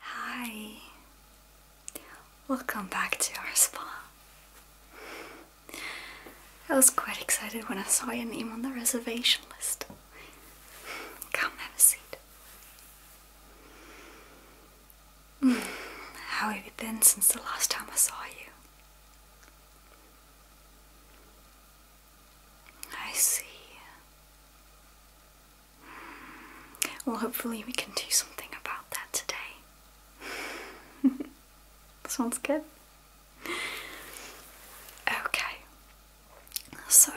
Hi, welcome back to our spa. I was quite excited when I saw your name on the reservation list. Come have a seat. Hmm, how have you been since the last time I saw you? I see. Well, hopefully, we can do something about that today. Sounds good. Okay, so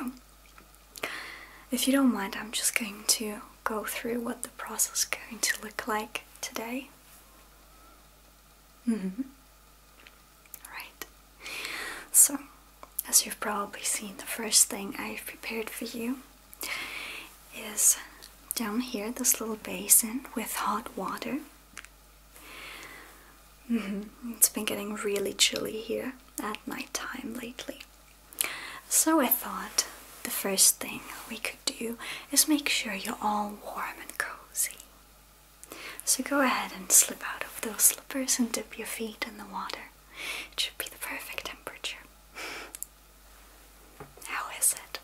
if you don't mind, I'm just going to go through what the process is going to look like today. Mm-hmm. Right. So, as you've probably seen, the first thing I've prepared for you is down here this little basin with hot water. Mm-hmm. It's been getting really chilly here at night time lately. So I thought the first thing we could do is make sure you're all warm and cozy. So go ahead and slip out of those slippers and dip your feet in the water. It should be the perfect temperature. How is it?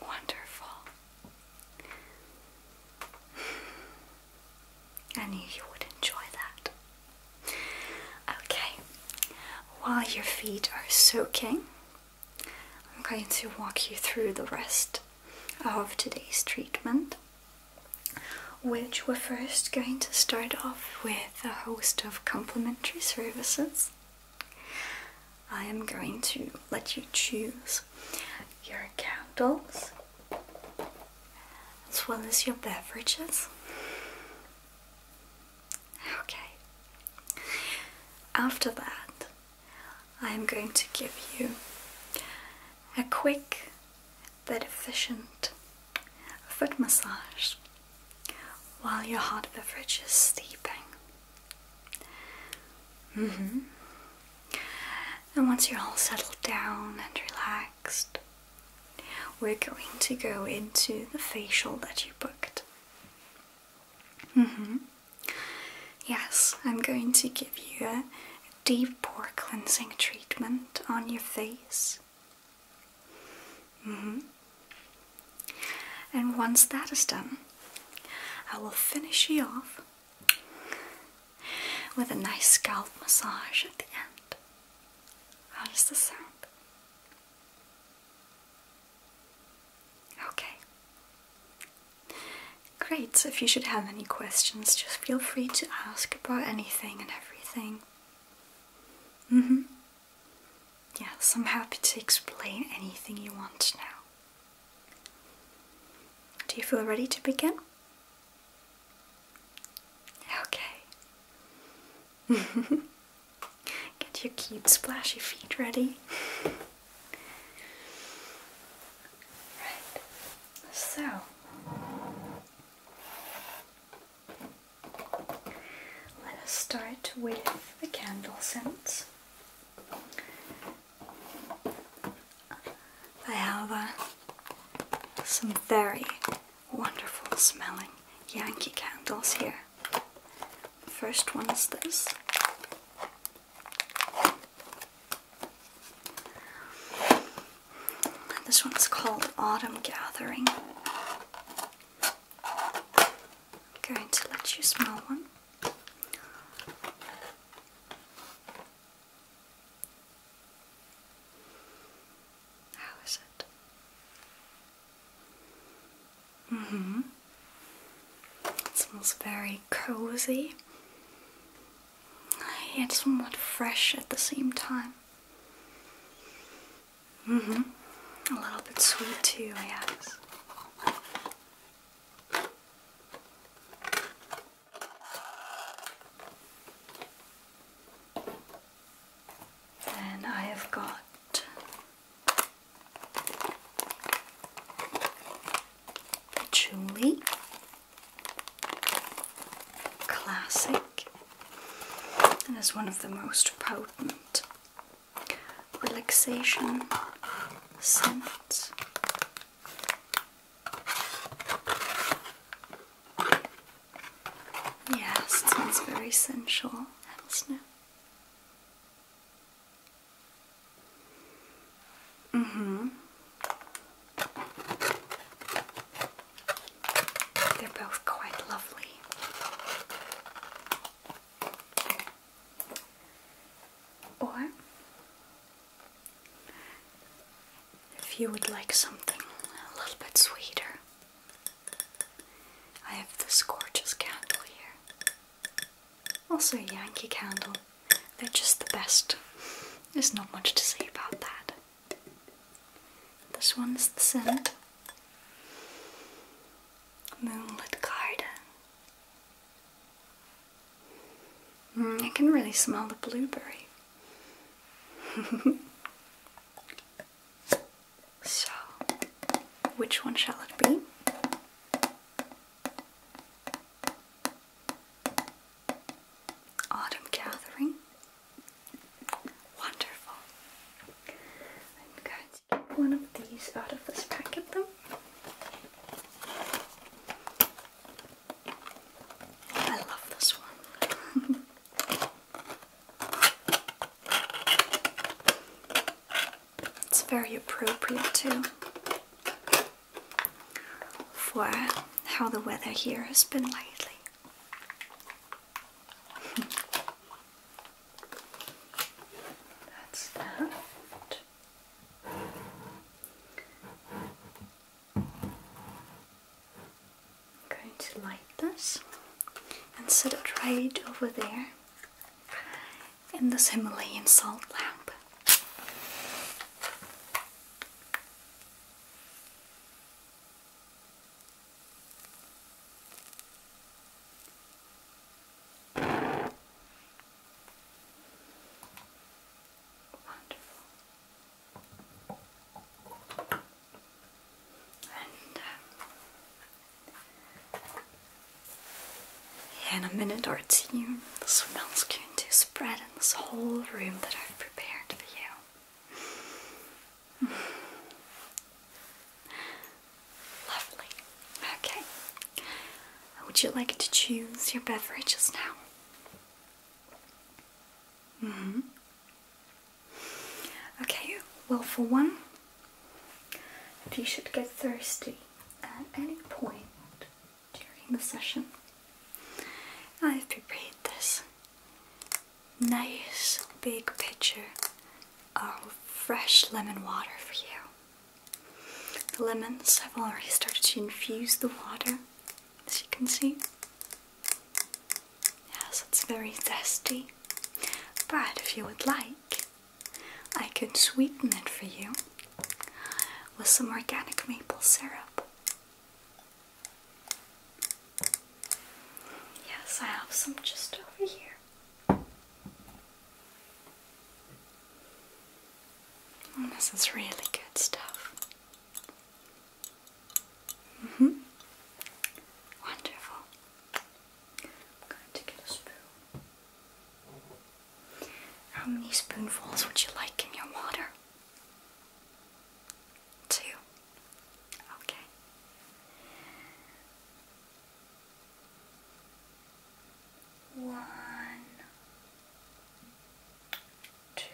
Wonderful. I knew you would enjoy that. Okay, while your feet are soaking, I'm going to walk you through the rest of today's treatment, which we're first going to start off with a host of complimentary services. I am going to let you choose your candles as well as your beverages. Okay. After that, I'm going to give you a quick but efficient foot massage while your hot beverage is steeping. Mm-hmm. And once you're all settled down and relaxed, we're going to go into the facial that you booked. Mm-hmm. Yes, I'm going to give you a deep pore cleansing treatment on your face. Mm -hmm. And once that is done, I will finish you off with a nice scalp massage at the end. How does this sound? Okay, Great, if you should have any questions, just feel free to ask about anything and everything. Mm hmm. Yes, I'm happy to explain anything you want now. Do you feel ready to begin? Okay. Get your cute splashy feet ready. Right, so let us start with the candle scents. I have uh, some very wonderful smelling Yankee candles here. The first one is this. And this one's called Autumn Gathering. I'm going to let you smell one. How is it? hmm It smells very cozy. It's somewhat fresh at the same time. hmm A little bit sweet too, I guess. Then I have got patchouli classic and is one of the most potent relaxation scents. Yes, it very sensual, doesn't it? Mm-hmm. They're both quite lovely. Or, if you would like something a little bit sweeter, I have this gorgeous candle here. Also, a Yankee candle. They're just the best. There's not much to say about that. This one's the scent. Moonlit Garden. Mm, I can really smell the blueberry. so, which one shall it be? Autumn gathering. Wonderful. I'm going to get one of these out of this packet them. I love this one. it's very appropriate too for how the weather here has been lately. That's that. I'm going to light this and set it right over there in this Himalayan salt lamp. And uh, in a minute or two, the smells going to spread in this whole room that I've prepared for you. Lovely. Okay. Would you like to choose your beverages now? Mm Okay, well, for one, if you should get thirsty at any point during the session. I've prepared this nice big pitcher of fresh lemon water for you. The lemons have already started to infuse the water, as you can see. Yes, it's very zesty. But if you would like, I could sweeten it for you with some organic maple syrup. Yes, I have some just over here. Mm, this is really good stuff. Mm hmm Wonderful. I'm going to get a spoon. How many spoonfuls would you like in your water? Two. Okay. One, two.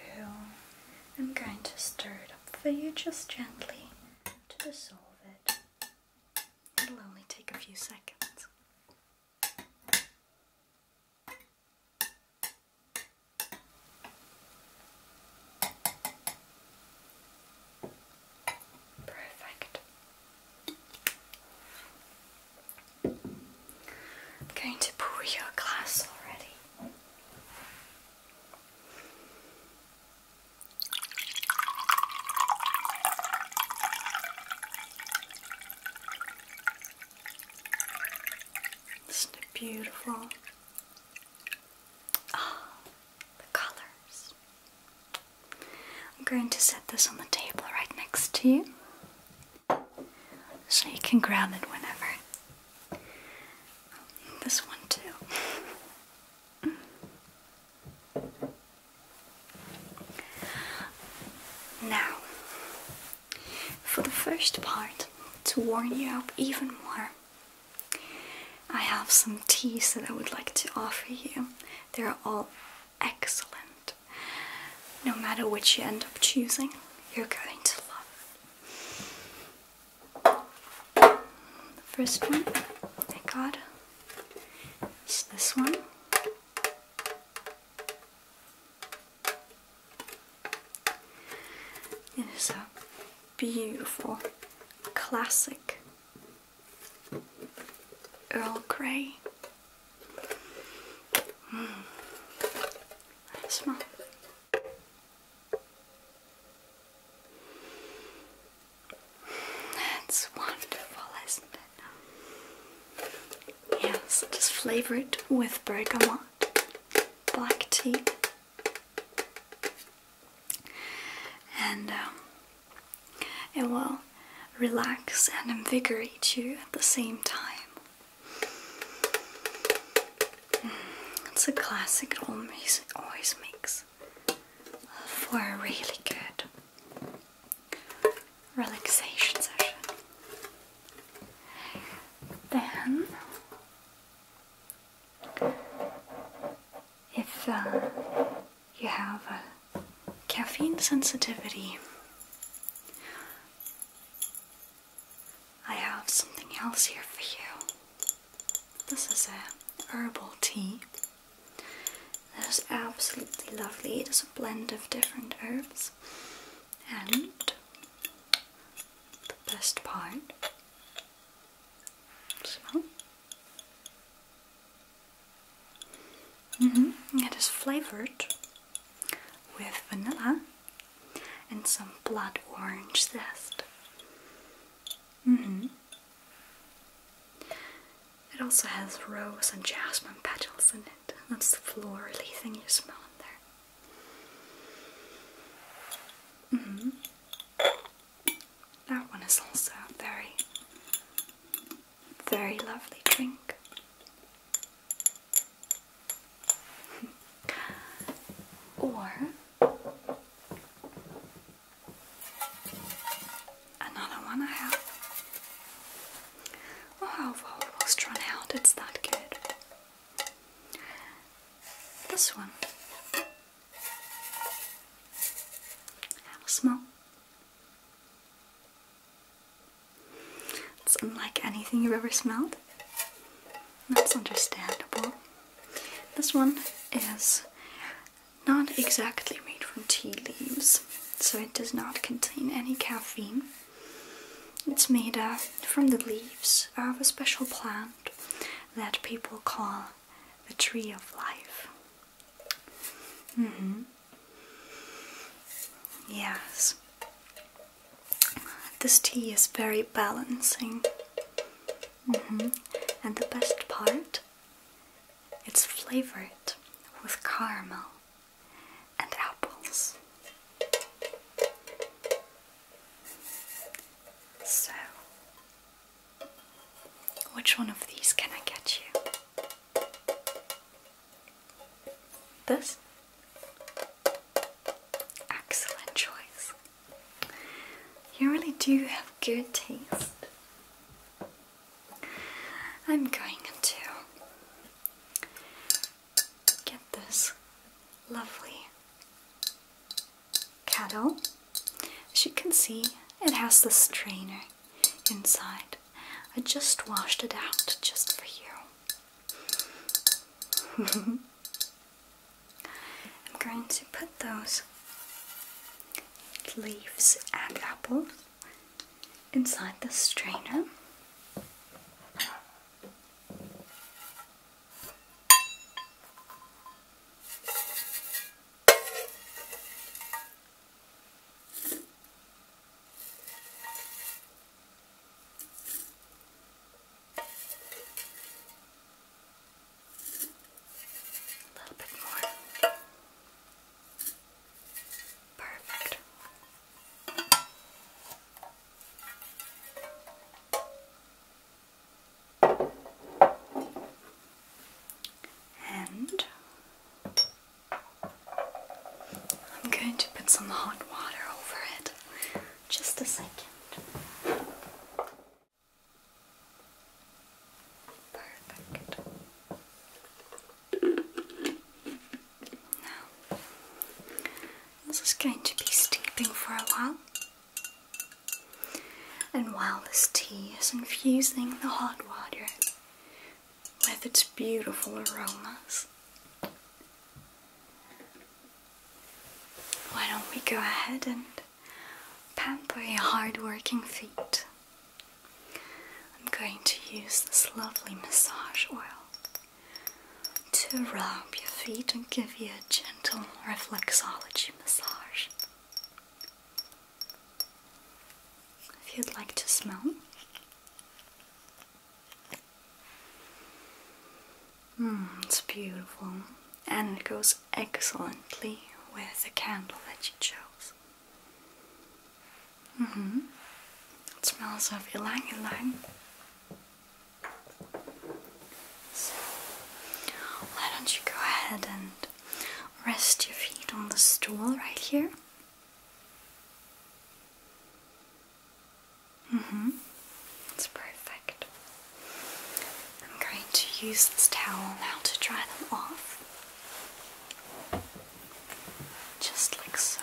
I'm going to stir it up for you just gently to dissolve it. It'll only take a few seconds. Perfect. I'm going to pour your glass already. Isn't it beautiful? Oh, the colors. I'm going to set this on the table right next to you so you can grab it whenever. This one, too. now, for the first part, to warm you up even more, I have some teas that I would like to offer you. They're all excellent. No matter which you end up choosing, you're going to love it. The first one thank God, is this one. It is a beautiful classic Earl Grey. Mm. Smell. That's wonderful, isn't it? Yes, just flavor it with bergamot, black tea, and um, it will relax and invigorate you at the same time. Mm, it's a classic, it always, always makes for a really good relaxation session. Then, if uh, you have a caffeine sensitivity, I have something else here for you. This is a herbal tea. that is absolutely lovely. It is a blend of different herbs and the best part smell mm-hmm. it is flavored with vanilla and some blood orange zest mm-hmm. it also has rose and jasmine petals in it that's the florally thing you smell in there Mm-hmm. That one is also a very, very lovely drink. or another one I have. Oh, I've almost run out, it's that good. This one. Have a It's unlike anything you've ever smelled. That's understandable. This one is not exactly made from tea leaves, so it does not contain any caffeine. It's made from the leaves of a special plant that people call the tree of life. Mm-hmm. Yes. This tea is very balancing. Mm-hmm. And the best part? It's flavored with caramel and apples. So, which one of these can I get you? This? Excellent choice. You really do have good taste. I'm going to get this lovely kettle. As you can see, it has the strainer inside. I just washed it out just for you. I'm going to put those leaves and apples inside the strainer. A little bit more. Perfect. And I'm going to put some hot water over it. Just a second. Perfect. Now, this is going to be steeping for a while. And while this tea is infusing the hot water with its beautiful aromas, why don't we go ahead and pamper your hard-working feet? I'm going to use this lovely massage oil to rub your feet and give you a gentle reflexology massage. If you'd like to smell. Mm, it's beautiful and it goes excellently with the candle that you chose. Mm-hmm. It smells of ylang ylang why don't you go ahead and rest your feet on the stool right here? hmm That's perfect. I'm going to use this towel now to dry them off. Just like so.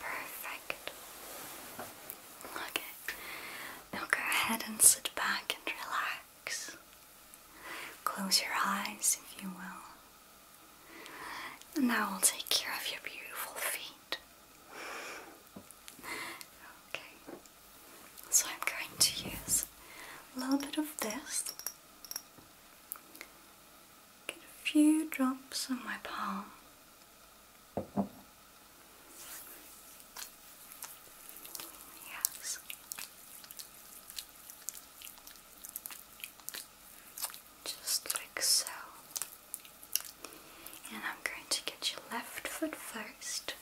Perfect. Okay. Now go ahead and sit back and relax. Close your eyes if you will. And now i will take care of your beautiful feet. Okay. So I'm going to use a little bit of this. Get a few drops on my palm. Yes. Just like so. And I'm going to get your left foot first.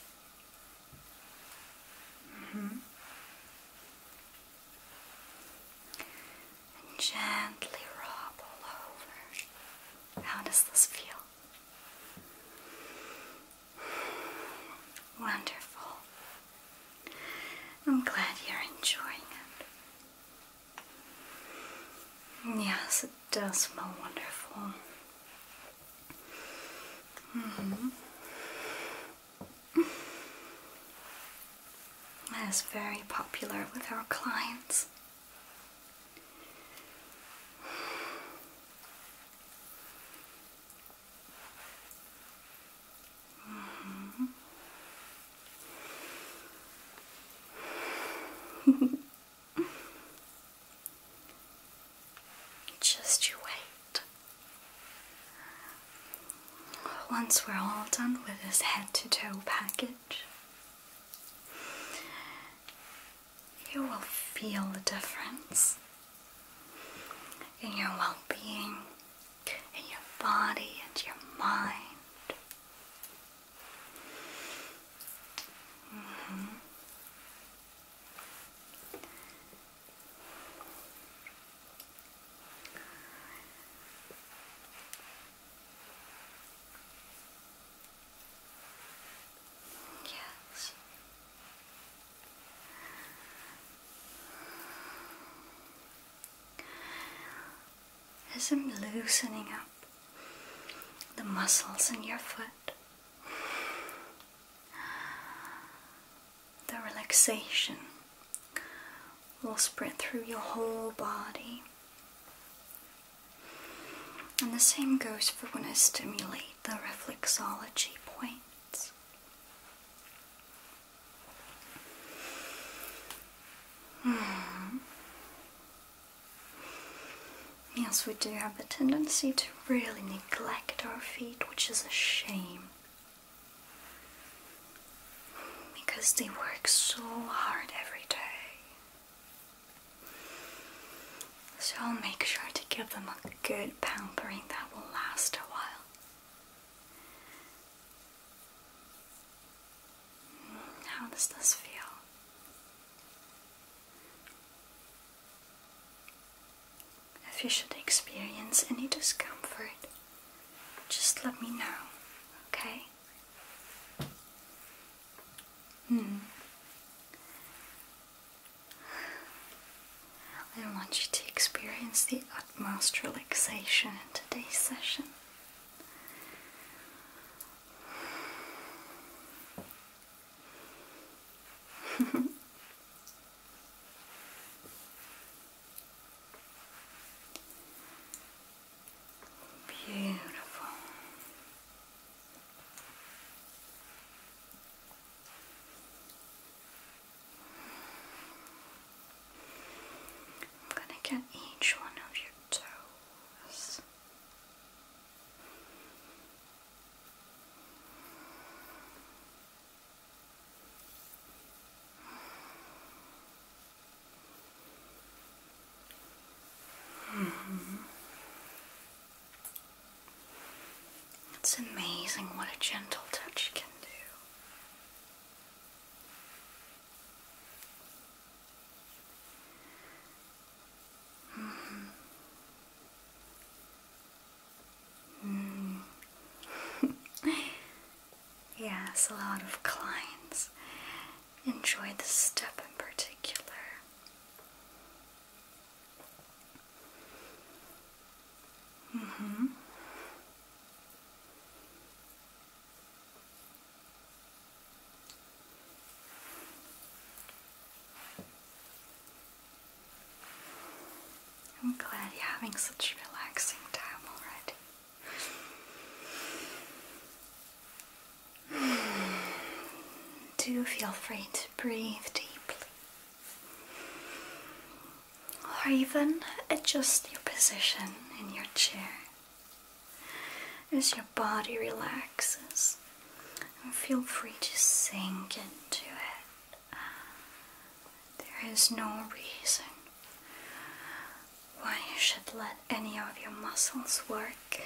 -hmm and gently rub all over. How does this feel? Wonderful. I'm glad you're enjoying it. Yes, it does smell wonderful. -hmm. That is very popular with our clients. Just you wait. Once we're all done with this head to toe package, you will feel the difference in your well being, in your body, and your mind. Mm-hmm. Yes. As I'm loosening up the muscles in your foot, the relaxation will spread through your whole body. And the same goes for when I stimulate the reflexology points. Hmm. Yes, we do have a tendency to really neglect our feet, which is a shame. Because they work so hard every day. So I'll make sure to give them a good pampering that will last a while. Mm, how does this feel? If you should experience any discomfort, just let me know, okay? Hmm. I want you to experience the utmost relaxation in today's session. Beautiful. I'm going to get each one of your toes. It's amazing what a gentle touch can do. Mm-hmm. yes, a lot of clients enjoy this step in particular. Mm-hmm. I'm glad you're having such a relaxing time already. Do feel free to breathe deeply or even adjust your position in your chair as your body relaxes and feel free to sink into it. There is no reason why you should let any of your muscles work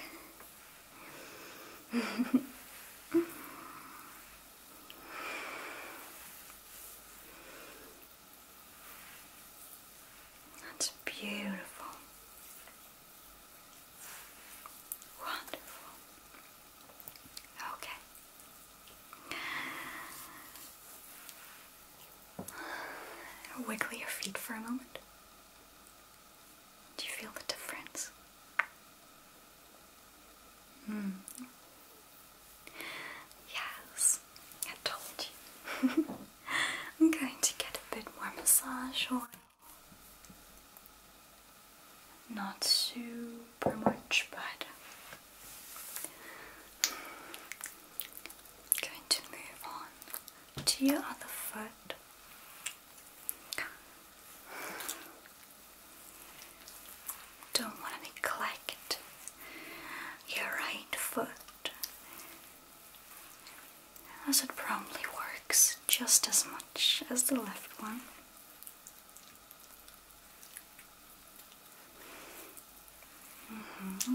that's beautiful. Wonderful. Okay. Wiggle your feet for a moment. Do you feel the difference? Hmm. Yes, I told you. I'm going to get a bit more massage oil. Not super much, but going to move on to your other foot. Don't want to neglect your right foot, as it probably works just as much as the left one. Mm-hmm.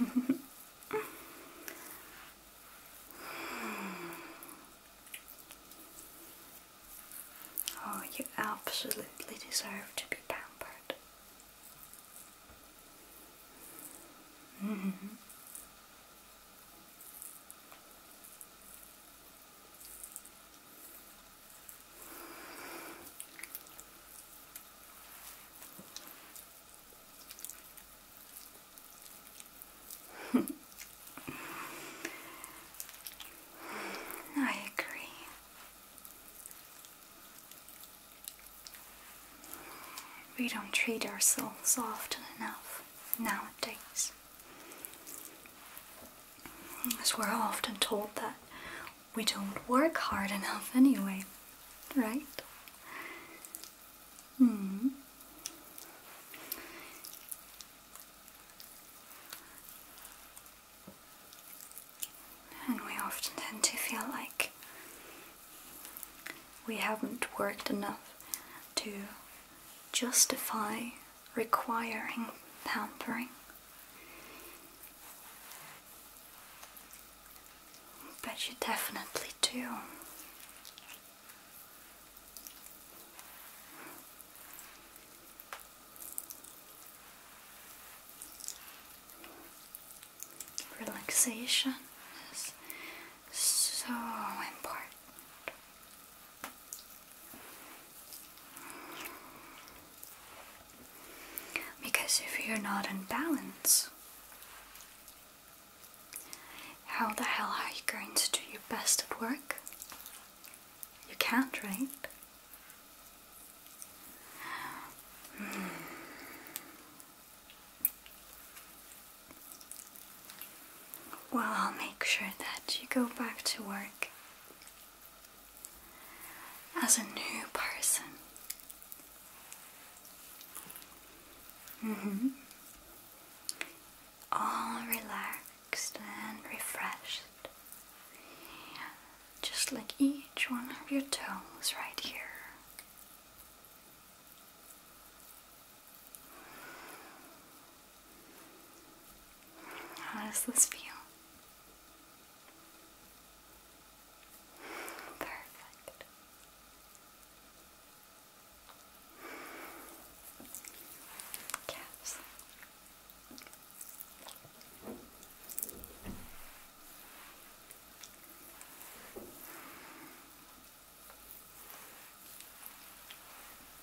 oh, you absolutely deserve to be pampered. -hmm. I agree. We don't treat ourselves often enough nowadays us. As we're often told that we don't work hard enough anyway, right? Hmm. And we often tend to feel like we haven't worked enough to justify requiring pampering. But you definitely do. Relaxation is so important. Because if you're not in balance, how the hell are you going to do your best at work? You can't, right? Hmm. Well, I'll make sure that you go back to work as a new person. Mm-hmm. All relaxed and refreshed. Just like each one of your toes right here. How does this feel? Perfect. Caps.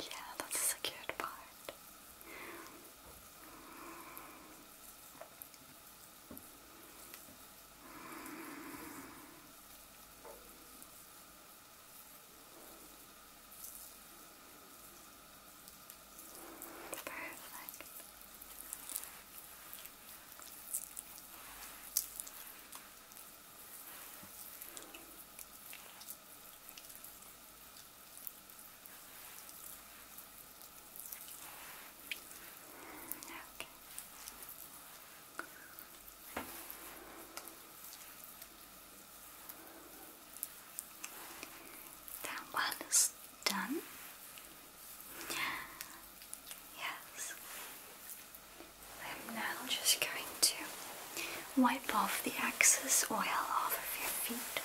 Yeah, that's a cute part. Perfect. Okay. That one is done. Yes. I'm now just going to wipe off the excess oil off of your feet.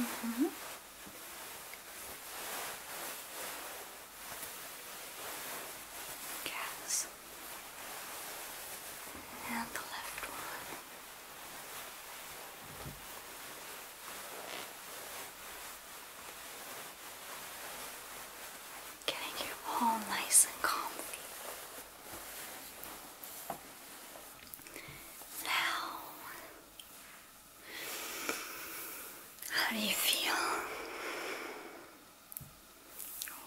Mm And the left one. Getting you all nice and comfy. Now, how do you feel?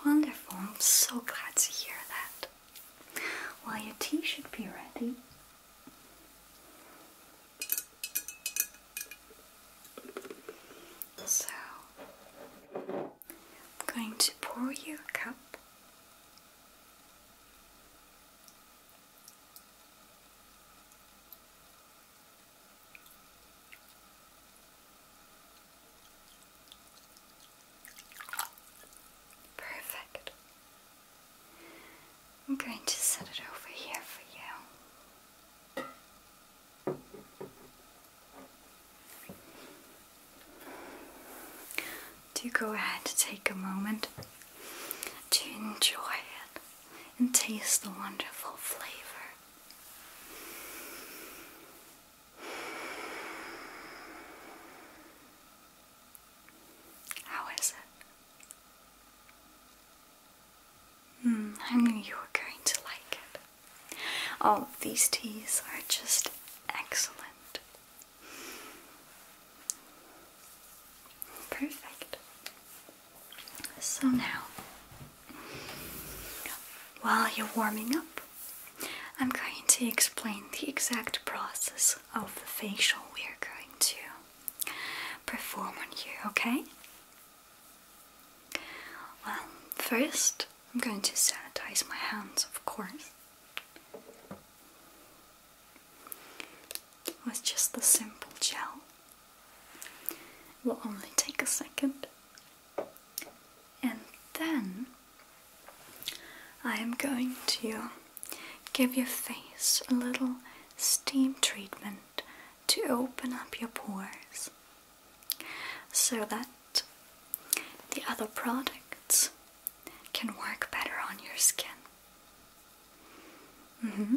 Wonderful, I'm so glad to hear that. Well, your tea should be ready so, I'm going to pour you a cup. Perfect. I'm going to set it over here for you. Do go ahead take a moment to enjoy it and taste the wonderful flavor. How is it? Hmm, I knew you were going to like it. All oh, of these teas are just excellent. Perfect. So now, while you're warming up, I'm going to explain the exact process of the facial we are going to perform on you, okay? Well, first I'm going to sanitize my hands, of course. With just the simple gel. will only take a second. And then I am going to give your face a little steam treatment to open up your pores so that the other products can work better on your skin. Mm-hmm.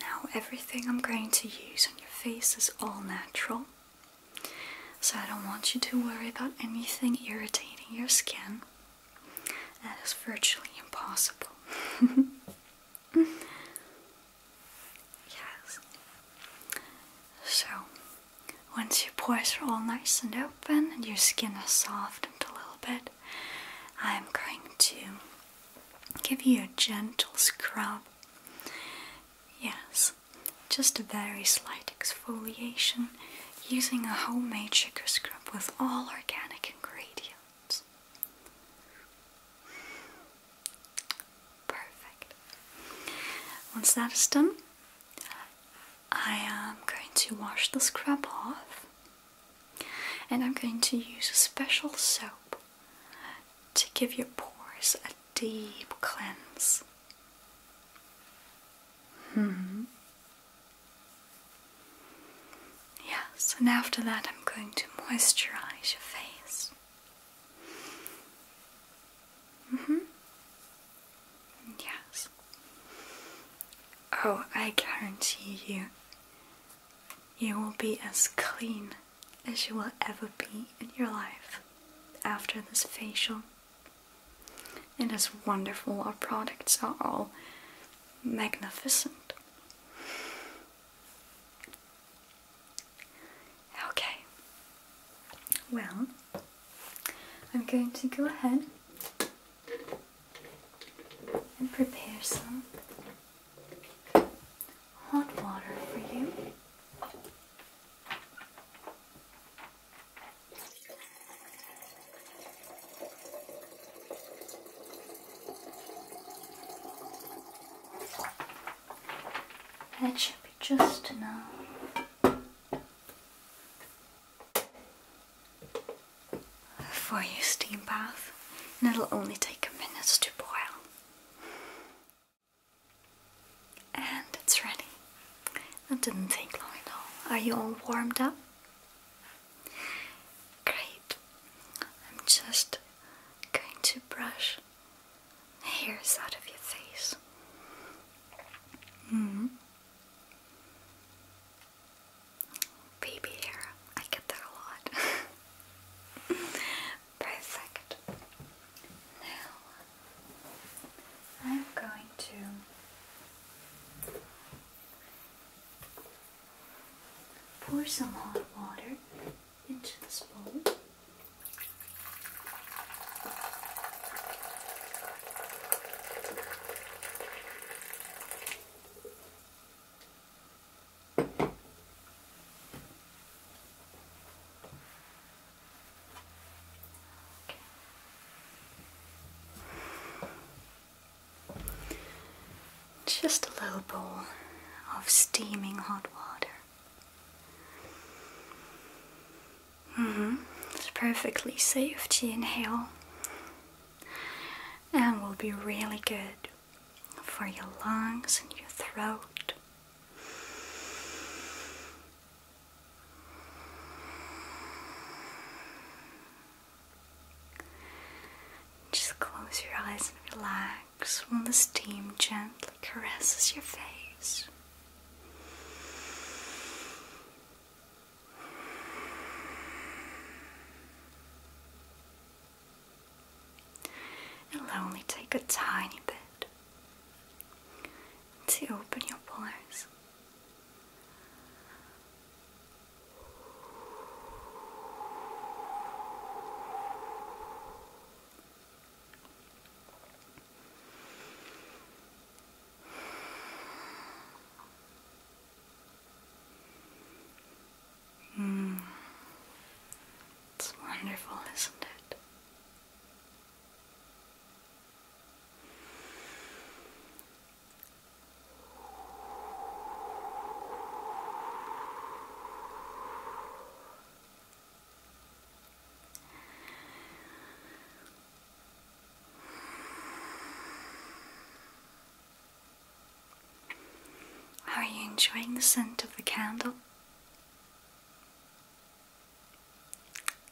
Now, everything I'm going to use on your face is all natural, so I don't want you to worry about anything irritating your skin. That is virtually impossible. yes. So, once your pores are all nice and open and your skin has softened a little bit, I'm going to give you a gentle scrub. Yes, just a very slight exfoliation using a homemade sugar scrub with all organic ingredients. Perfect. Once that is done, I am going to wash the scrub off and I'm going to use a special soap to give your pores a deep cleanse. -hmm. Yes, and after that, I'm going to moisturize your face. hmm. Yes. Oh, I guarantee you, you will be as clean as you will ever be in your life after this facial. And It is wonderful, our products are all magnificent. Okay, well, I'm going to go ahead and prepare some hot water for you. That should be just enough. For your steam bath, and it'll only take a minute to boil. And it's ready. That didn't take long at all. Are you all warmed up? Great. I'm just going to brush hairs out of your face. Mm Baby hair. I get that a lot. Perfect. Now I'm going to Pour some hot water into this bowl. Just a little bowl of steaming hot water. Mm-hmm. It's perfectly safe to inhale and will be really good for your lungs and your throat. Just close your eyes and relax while the steam gently caresses your face. It'll only take a tiny bit to open your pores. Mm. It's wonderful, isn't it? Are you enjoying the scent of the candle?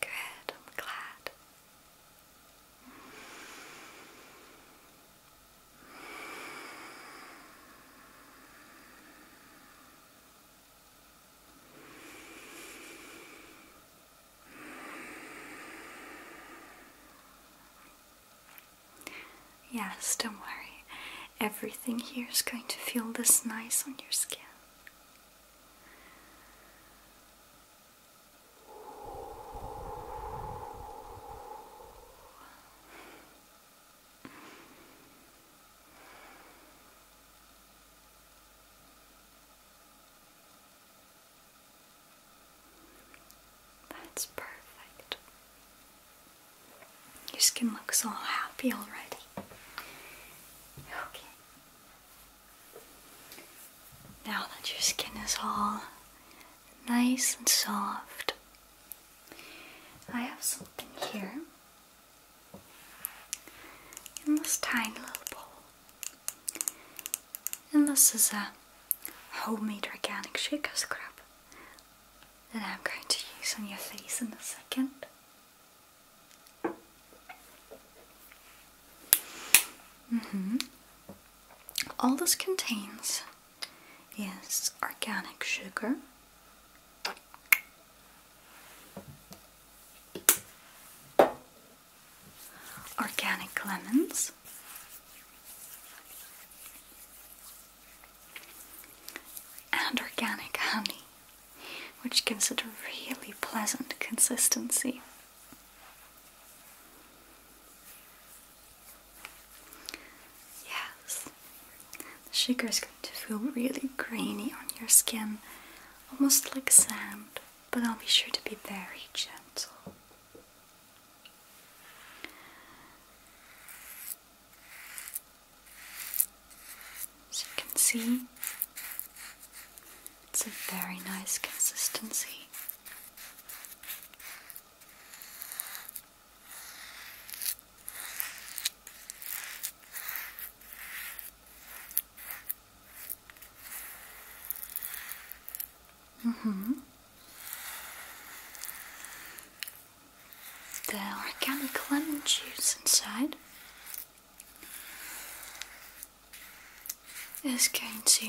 Good, I'm glad. Yes, don't worry. Everything here is going to feel this nice on your skin. That's perfect. Your skin looks all happy already. Okay. Now that your skin is all nice and soft, I have something here in this tiny little bowl, and this is a homemade organic shaker scrub that I'm going to use on your face in a second. Mm-hmm. All this contains is organic sugar. Organic lemons, and organic honey, which gives it a really pleasant consistency. Yes, the sugar is going to feel really grainy on your skin, almost like sand, but I'll be sure to be very gentle. As you can see, it's a very nice consistency hmm The organic lemon juice inside is going to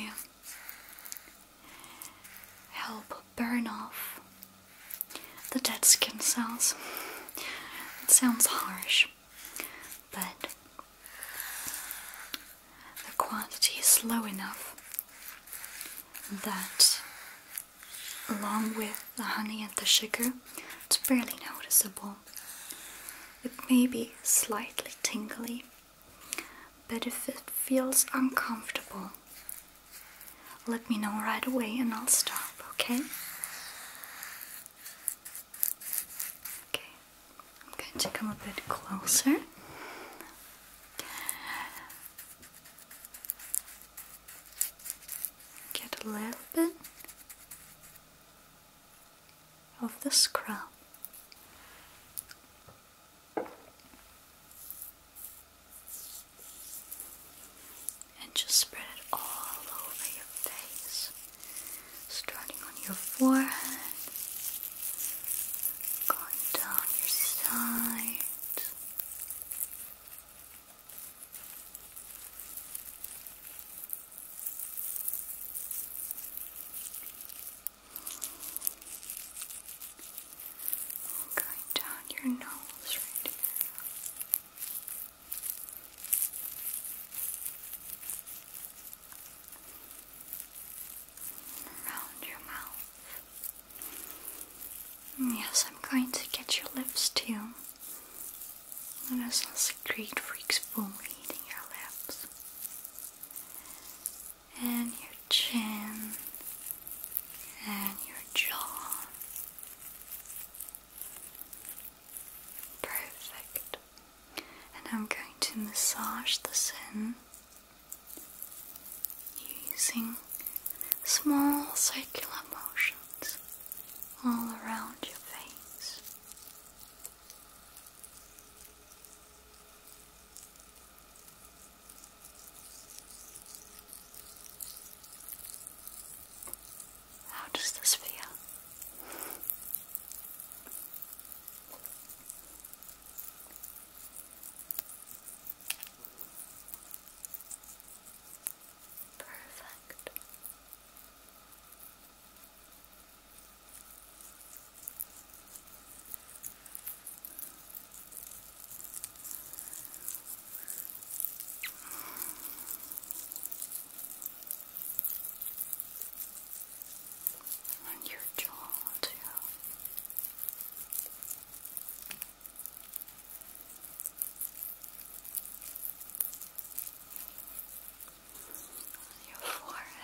help burn off the dead skin cells. It sounds harsh, but the quantity is low enough that, along with the honey and the sugar, it's barely noticeable. It may be slightly tingly, but if it feels uncomfortable, let me know right away and I'll stop, okay? Okay, I'm going to come a bit closer. Get a little bit of the scrub. And just spread it all over your face, starting on your forehead, going down your side going down your nose right here. Around your mouth. Yes, I'm going to get your lips too. Let us not secrete freaks boom eating your lips and your chin and your jaw. Perfect. And I'm going to massage the in using small circular motions all around your face. How does this feel? Perfect. And your jaw too. Your forehead.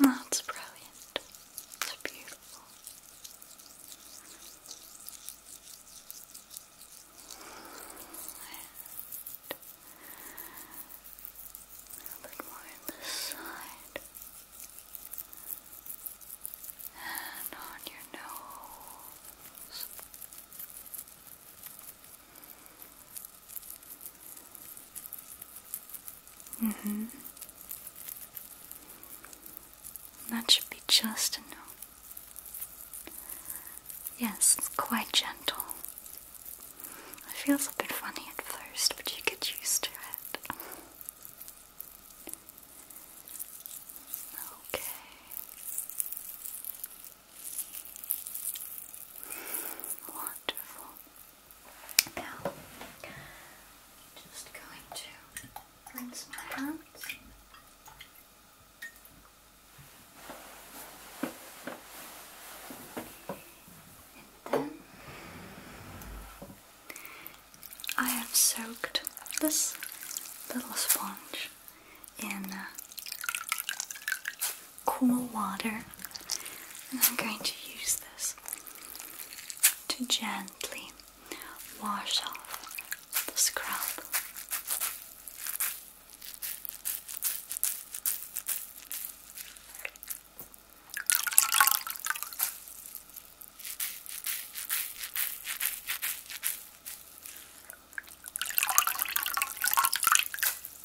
That's brilliant. It's beautiful. And a little on this side. And on your nose. Mm-hmm. That should be just enough. Yes, quite gentle. It feels a bit funny at first, but you get used to it. Okay. One, now, i just going to rinse my hands. And then I have soaked this little sponge in uh, cool water, and I'm going to use this to gently wash off the scrub.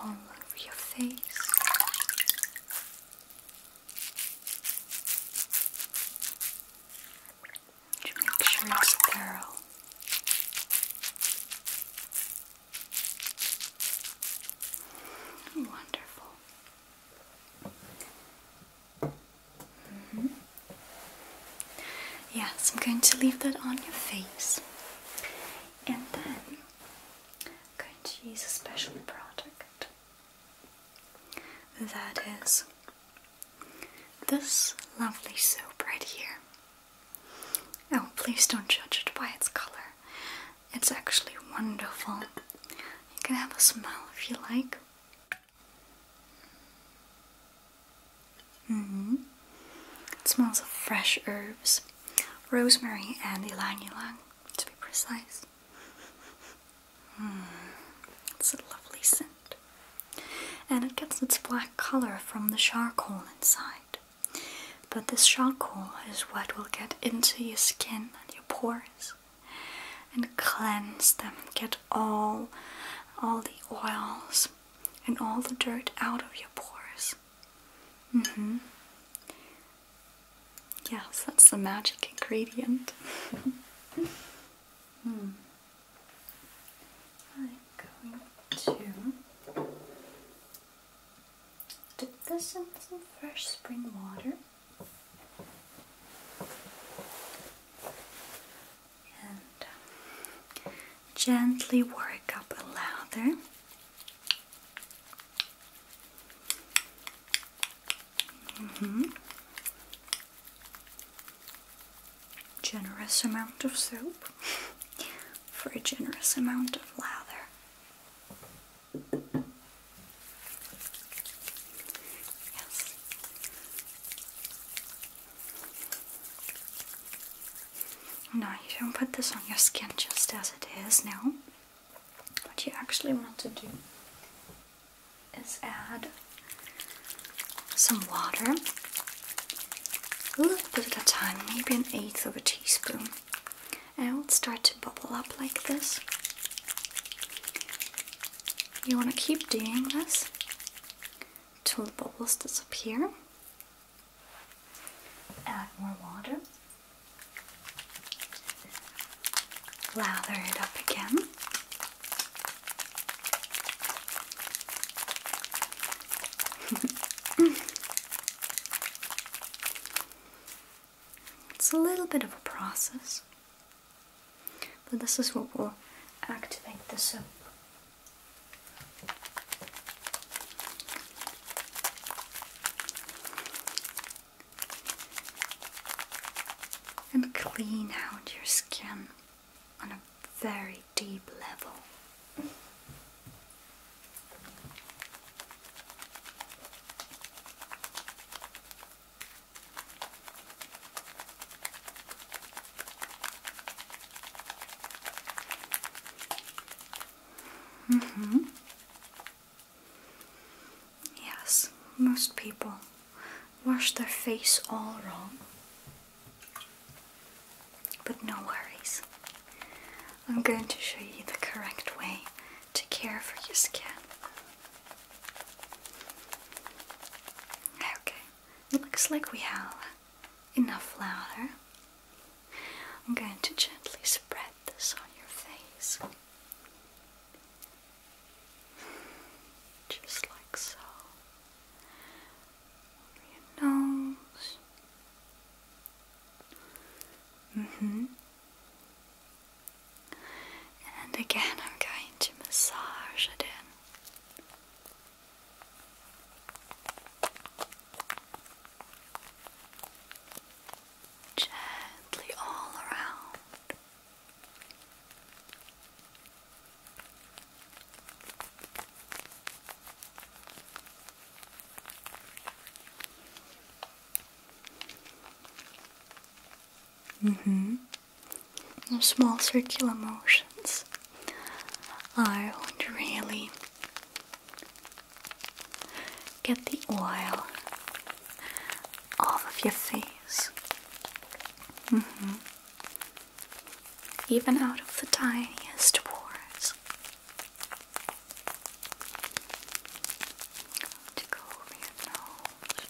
all over your face. make sure it's thorough. Wonderful. Mm-hmm. Yes, I'm going to leave that on your face. And then I'm going to use a special product that is this lovely soap right here. Oh, please don't judge it by its color. It's actually wonderful. You can have a smell if you like. hmm. It smells of fresh herbs Rosemary and Ylang Ylang, to be precise. Hmm, it's a lovely scent. And it gets its black color from the charcoal inside. But this charcoal is what will get into your skin and your pores and cleanse them, and get all all the oils and all the dirt out of your pores. Mm hmm. Yes, that's the magic ingredient. hmm. I'm going to dip this in some fresh spring water. And um, gently work up a lather Mm-hmm. Generous amount of soap for a generous amount of lather. Yes. No, you don't put this on your skin just as it is now. What you actually want to do is add some water, a little bit at a time, maybe an eighth of a teaspoon, and it'll start to bubble up like this. You want to keep doing this till the bubbles disappear. Add more water. Lather it up again. it's a little bit of a process, but this is what will activate the soap and clean out your skin on a very deep level hmm. Yes, most people wash their face all wrong. But no worries. I'm going to show you the correct way to care for your skin. Okay, looks like we have enough flour. I'm going to gently spread this on your face. Just like so. Over your nose. hmm And again, I'm going to massage it in. Gently all around. Mm-hmm. Those small circular motions are what really Get the oil off of your face. Mm-hmm. Even out of the tiniest pores. To go over your nose.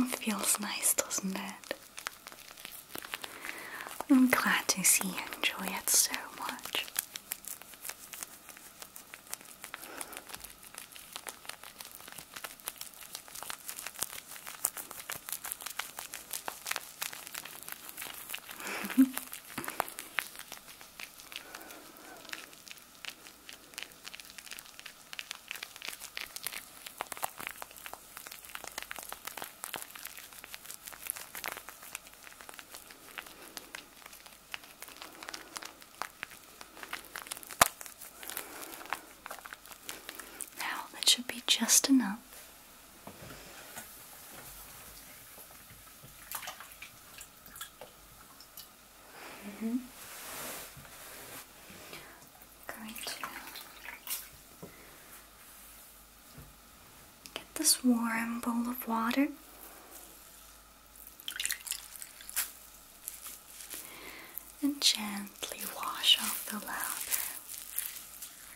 It feels nice, doesn't it? I'm glad to see you enjoy it so much. Now that should be just enough Going to get this warm bowl of water. And gently wash off the lather.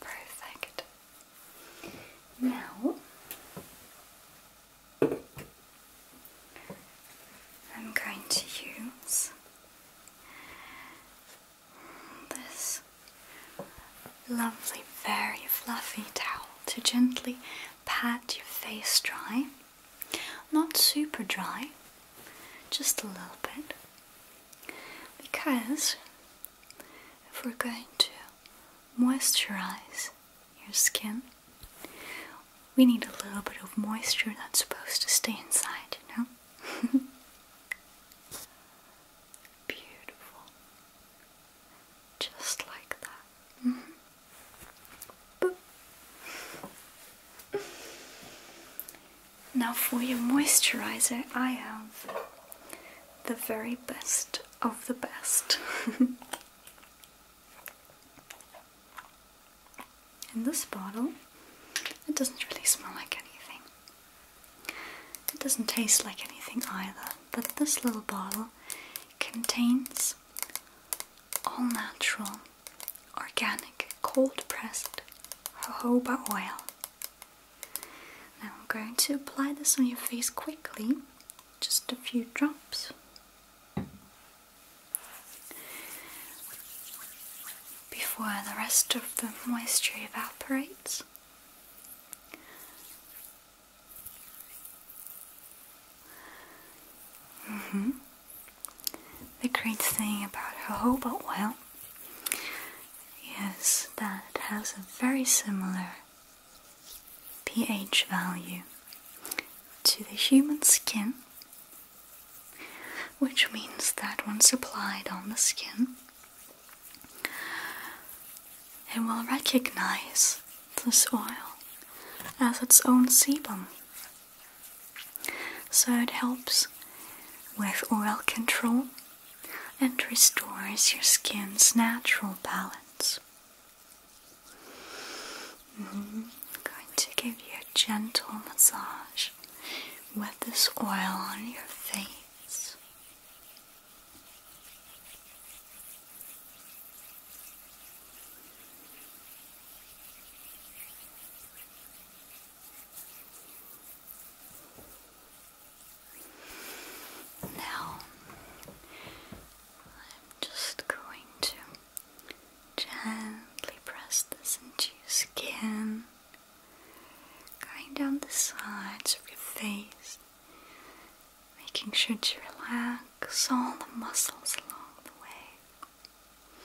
Perfect. Now I'm going to use this lovely, very fluffy towel to gently pat your face dry. Not super dry, just a little bit. Because if we're going to moisturize your skin, we need a little bit of moisture that's supposed to stay inside, you know? Beautiful. Just like that. Mm-hmm. Now, for your moisturizer, I have the very best of the best. In this bottle, it doesn't really smell like anything. It doesn't taste like anything either, but this little bottle contains all natural, organic, cold pressed jojoba oil. Now I'm going to apply this on your face quickly, just a few drops. Before the rest of the moisture evaporates, Mm-hmm. The great thing about jojoba oil yes, that has a very similar pH value to the human skin, which means that when applied on the skin, it will recognize this oil as its own sebum. So it helps with oil control and restores your skin's natural balance. Mm-hmm. I'm going to give you a gentle massage with this oil on your face. Now, I'm just going to gently press this into your skin, going down the sides of your face, making sure to relax all the muscles along the way.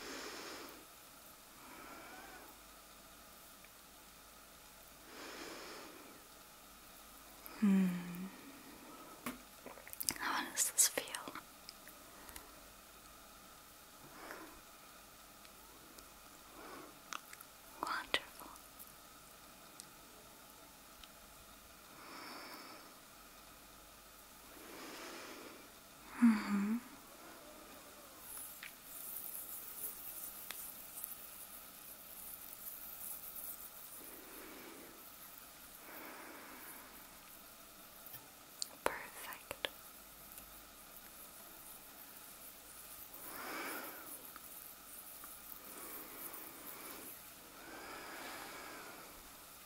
Hmm. How does this feel? Wonderful. Mm -hmm. Perfect.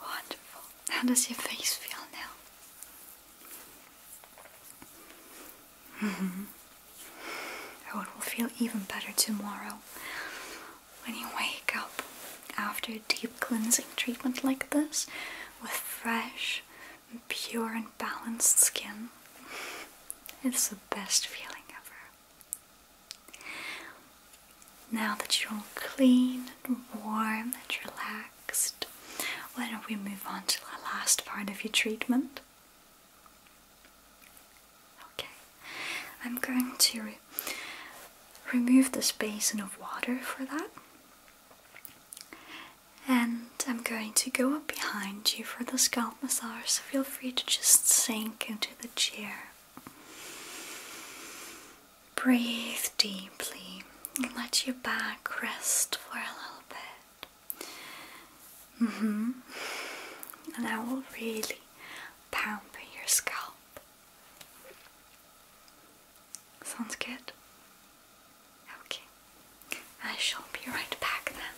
Wonderful. How does your face feel now? -hmm. Oh, it will feel even better tomorrow when you wake up after a deep cleansing treatment like this with fresh, pure, and balanced skin. It's the best feeling ever. Now that you're all clean warm and relaxed, why don't we move on to the last part of your treatment? Okay, I'm going to remove this basin of water for that. And I'm going to go up behind you for the scalp massage, so feel free to just sink into the chair. Breathe deeply and let your back rest for a little bit. Mm hmm And I will really pamper your scalp. Sounds good? Okay. I shall be right back then.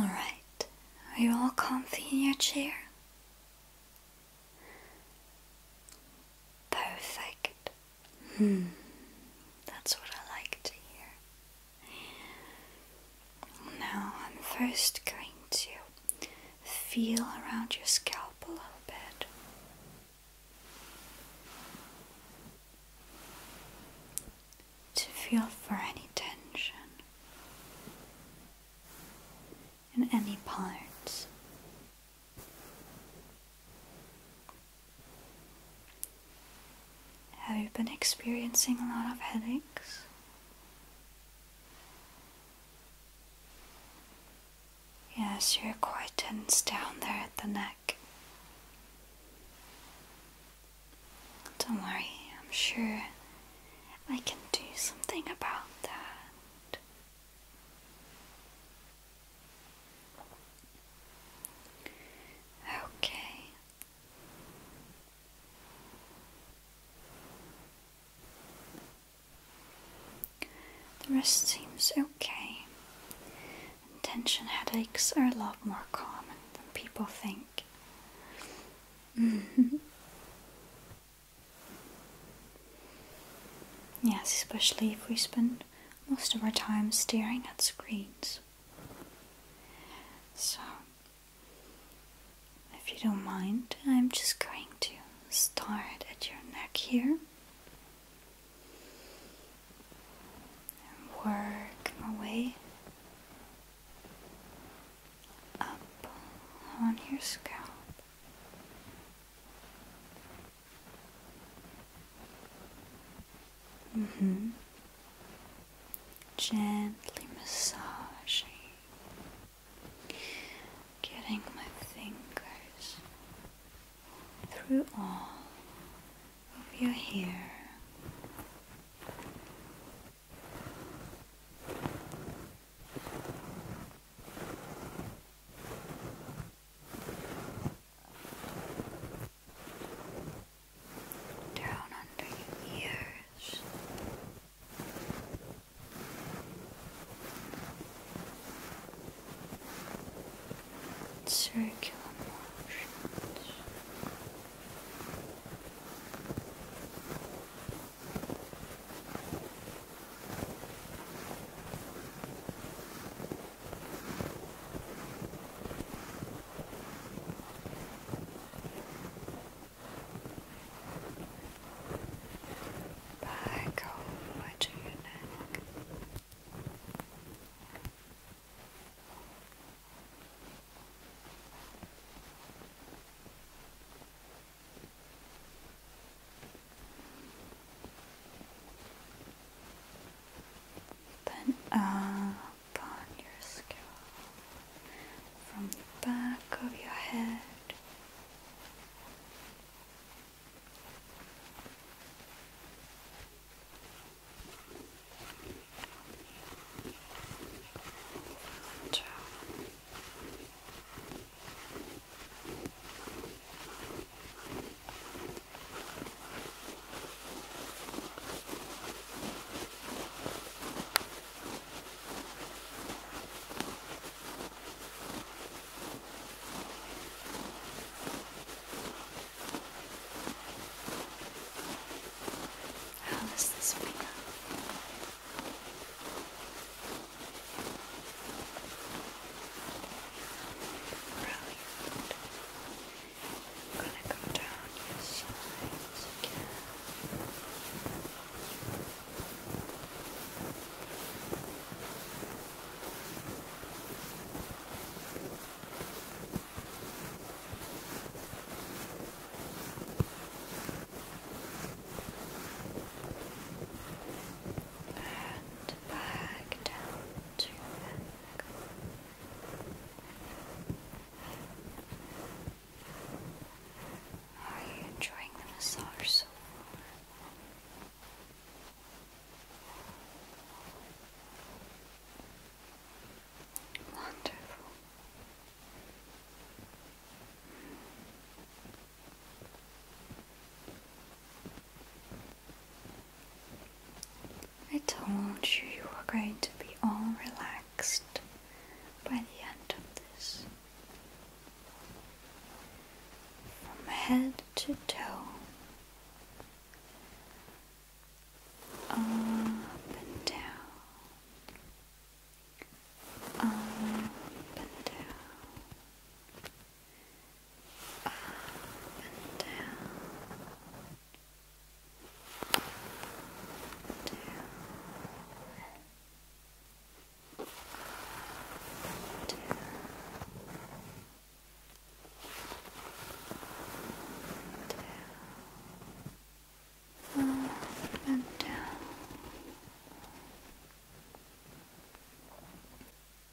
Alright, are you all comfy in your chair? Perfect. Hmm. that's what I like to hear. Now, I'm first going to feel around your scalp a little bit. To feel for any tension in any parts have you been experiencing a lot of headaches? Yes, you're quite tense down there at the neck. Don't worry, I'm sure I can do something about that. Okay. The rest seems okay. Tension headaches are a lot more common than people think. Mm-hmm. yes, especially if we spend most of our time staring at screens. So, if you don't mind, I'm just going to start at your neck here and work my way up on your scalp Mm-hmm. Gently massaging, getting my fingers through all of your hair down under your ears. Circular motions. Back all to your neck then up on your skull, from the back of your head. Down. How does this feel? Brilliant. I'm gonna go down your sides again. And back down to how are you enjoying the massage Wonderful. I told you you were going to be all relaxed by the end of this. From head to toe, up and down, up and down, up and down, down, down. Down, up and down.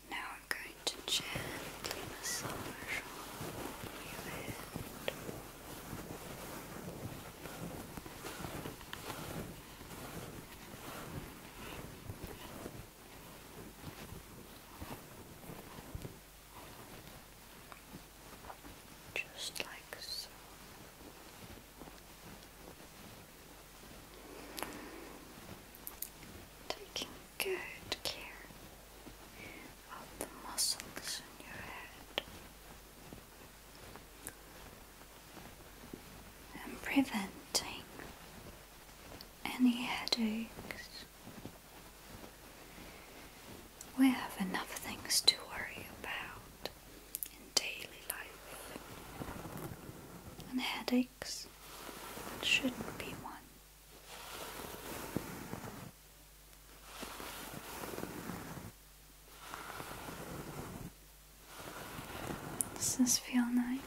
Now I'm going to gently massage all over your head. Just like so. Taking good care of the muscles in your head and preventing any headaches. We have enough things to worry about in daily life, and headaches shouldn't be one. Does this feel nice?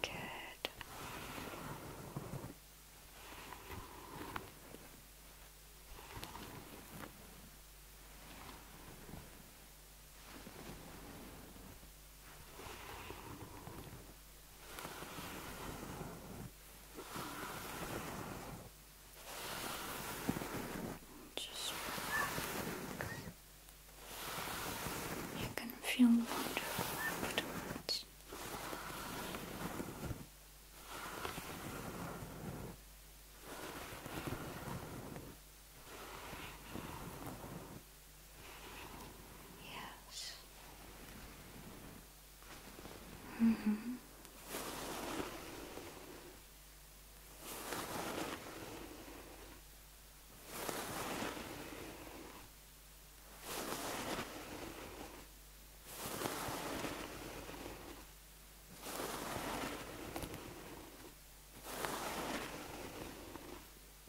Good. Just relax. You can feel wonderful afterwards. Now Yes. Mm -hmm.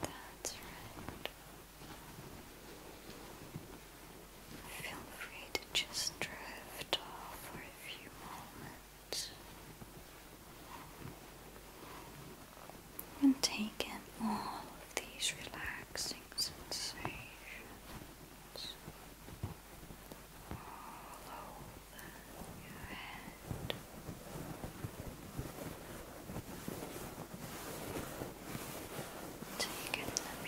That's right. Feel free to just drift off for a few moments and take in all of these relaxing sensations all your head. the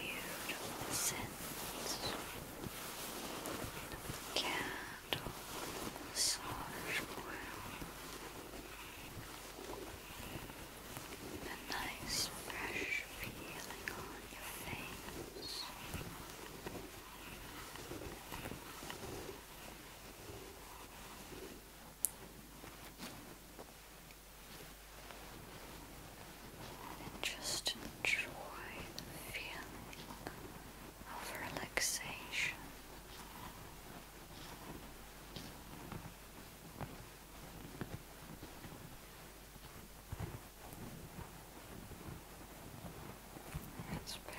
beautiful scents of candle massage oil. The nice fresh feeling on your face just enjoy the feeling of relaxation. That's perfect.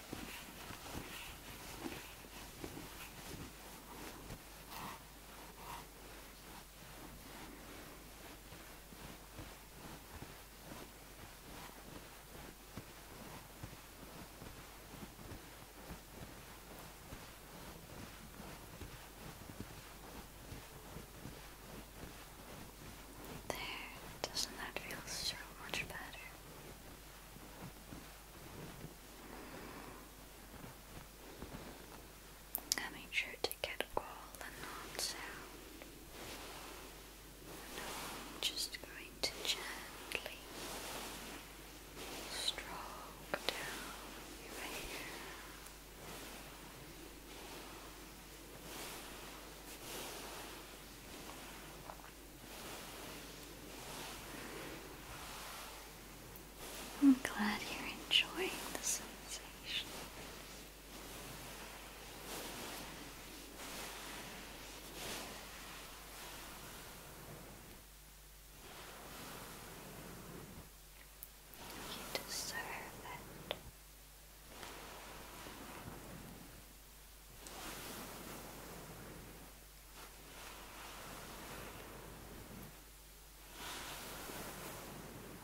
There, doesn't that feel so much better? I made sure to get all the knots out. just going to gently stroke down your hair. I'm glad you're enjoying the sensation. You deserve it.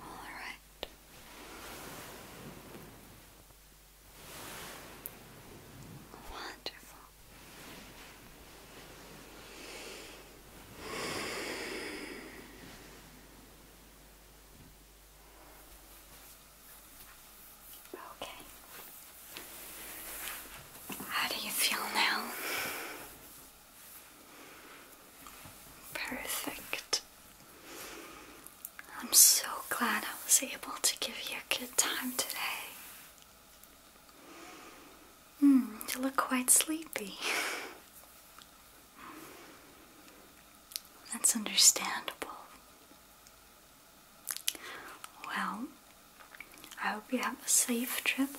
All right. Wonderful. Okay. How do you feel now? Perfect. I'm so glad I was able to give you a good time today. Hmm, you look quite sleepy. That's understandable. Well, I hope you have a safe trip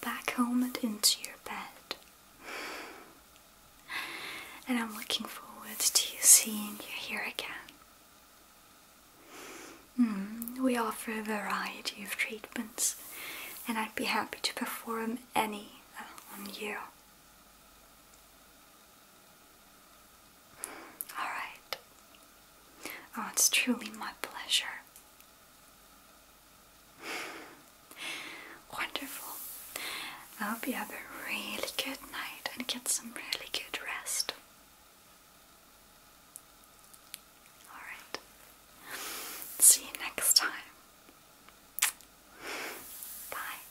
back home and into your bed. and I'm looking forward to seeing you here again. Hmm, we offer a variety of treatments, and I'd be happy to perform any uh, on you. All right. Oh, it's truly my pleasure. Wonderful. I hope you have a really good night and get some really good rest. Alright. See you next time. Bye.